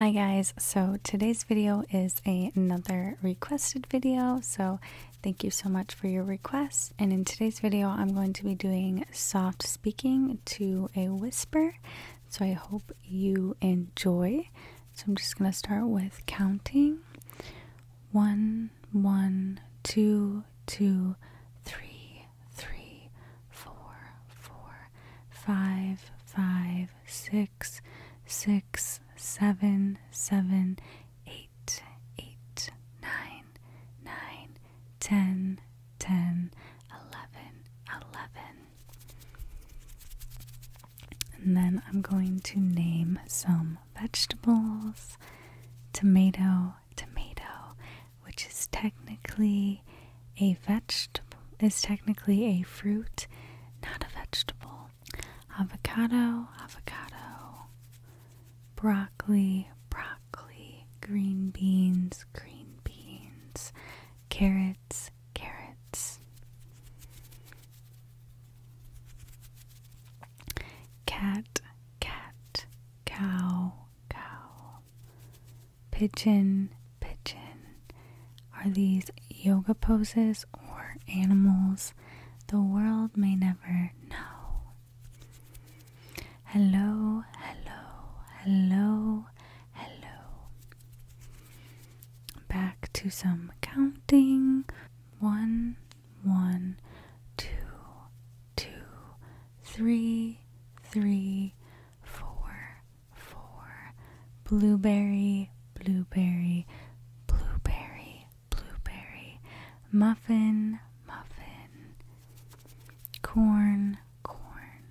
Hi guys, so today's video is another requested video, so thank you so much for your requests. And in today's video, I'm going to be doing soft speaking to a whisper, so I hope you enjoy. So I'm just going to start with counting. One, one, two, two, three, three, four, four, four, five, five, six, six, seven, seven, eight, eight, nine, nine, ten, ten, eleven, eleven. And then I'm going to name some vegetables. Tomato, tomato, which is technically a vegetable is technically a fruit, not a vegetable. Avocado, avocado. Broccoli, broccoli. Green beans, green beans. Carrots, carrots. Cat, cat. Cow, cow pigeon, pigeon. Are these yoga poses or animals? The world may never know. Hello, hello, hello, hello. Back to some counting. One, one, two, two, three, three, four, four blueberry, blueberry, blueberry, blueberry, muffin, muffin, corn, corn,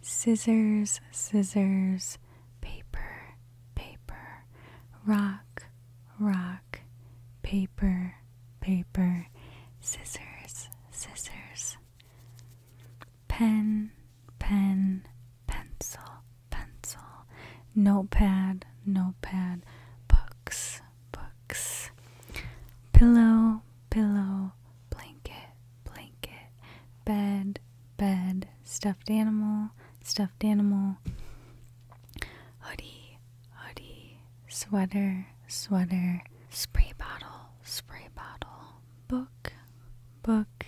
scissors, scissors, paper, paper, rock, rock, paper, paper, scissors, scissors, Pen, pen, pencil, pencil, notepad, notepad, books, books, pillow, pillow, blanket, blanket, bed, bed, stuffed animal, stuffed animal, hoodie, hoodie, sweater, sweater, spray bottle, spray bottle, book, book,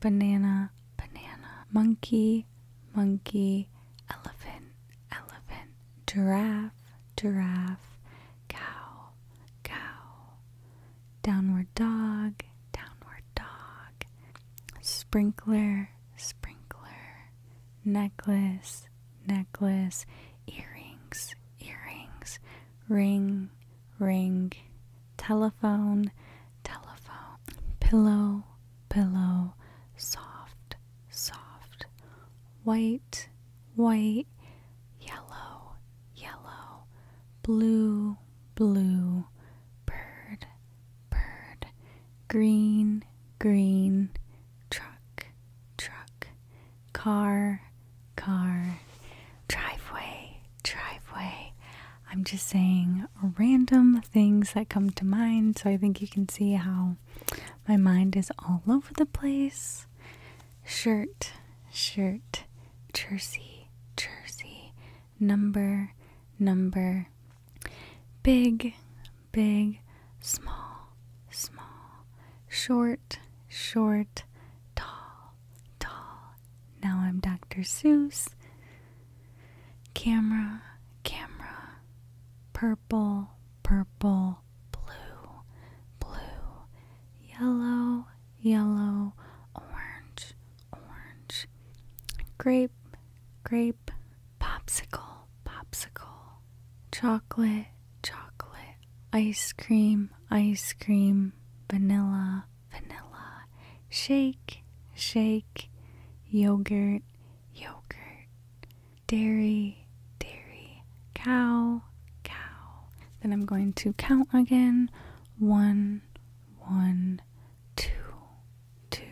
banana, banana, monkey, monkey, elephant, elephant, giraffe, giraffe, cow, cow, downward dog, downward dog, sprinkler, sprinkler, necklace, necklace, earrings, earrings, ring, ring, telephone, telephone, pillow, pillow, soft, soft, white, white, yellow, yellow, blue, blue, bird, bird, green, green, truck, truck, car, car, driveway, driveway. I'm just saying random things that come to mind, so I think you can see how my mind is all over the place. Shirt, shirt, jersey, jersey, number, number, big, big, small, small, short, short, tall, tall. Now I'm Dr. Seuss. Camera, camera, purple, purple, blue, blue, yellow, yellow, orange, orange, grape, grape, popsicle, popsicle, chocolate, chocolate, ice cream, ice cream, vanilla, vanilla, shake, shake, yogurt, yogurt, dairy, dairy, cow, cow. Then I'm going to count again one, one, two, two,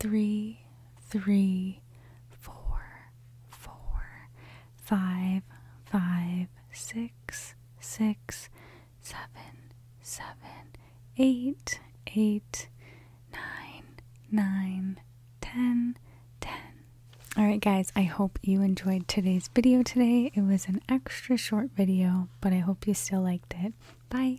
three three, four, four, five, five, six, six, seven, seven, eight, eight, nine, nine, ten, ten. Alright guys, I hope you enjoyed today's video today. It was an extra short video, but I hope you still liked it. Bye!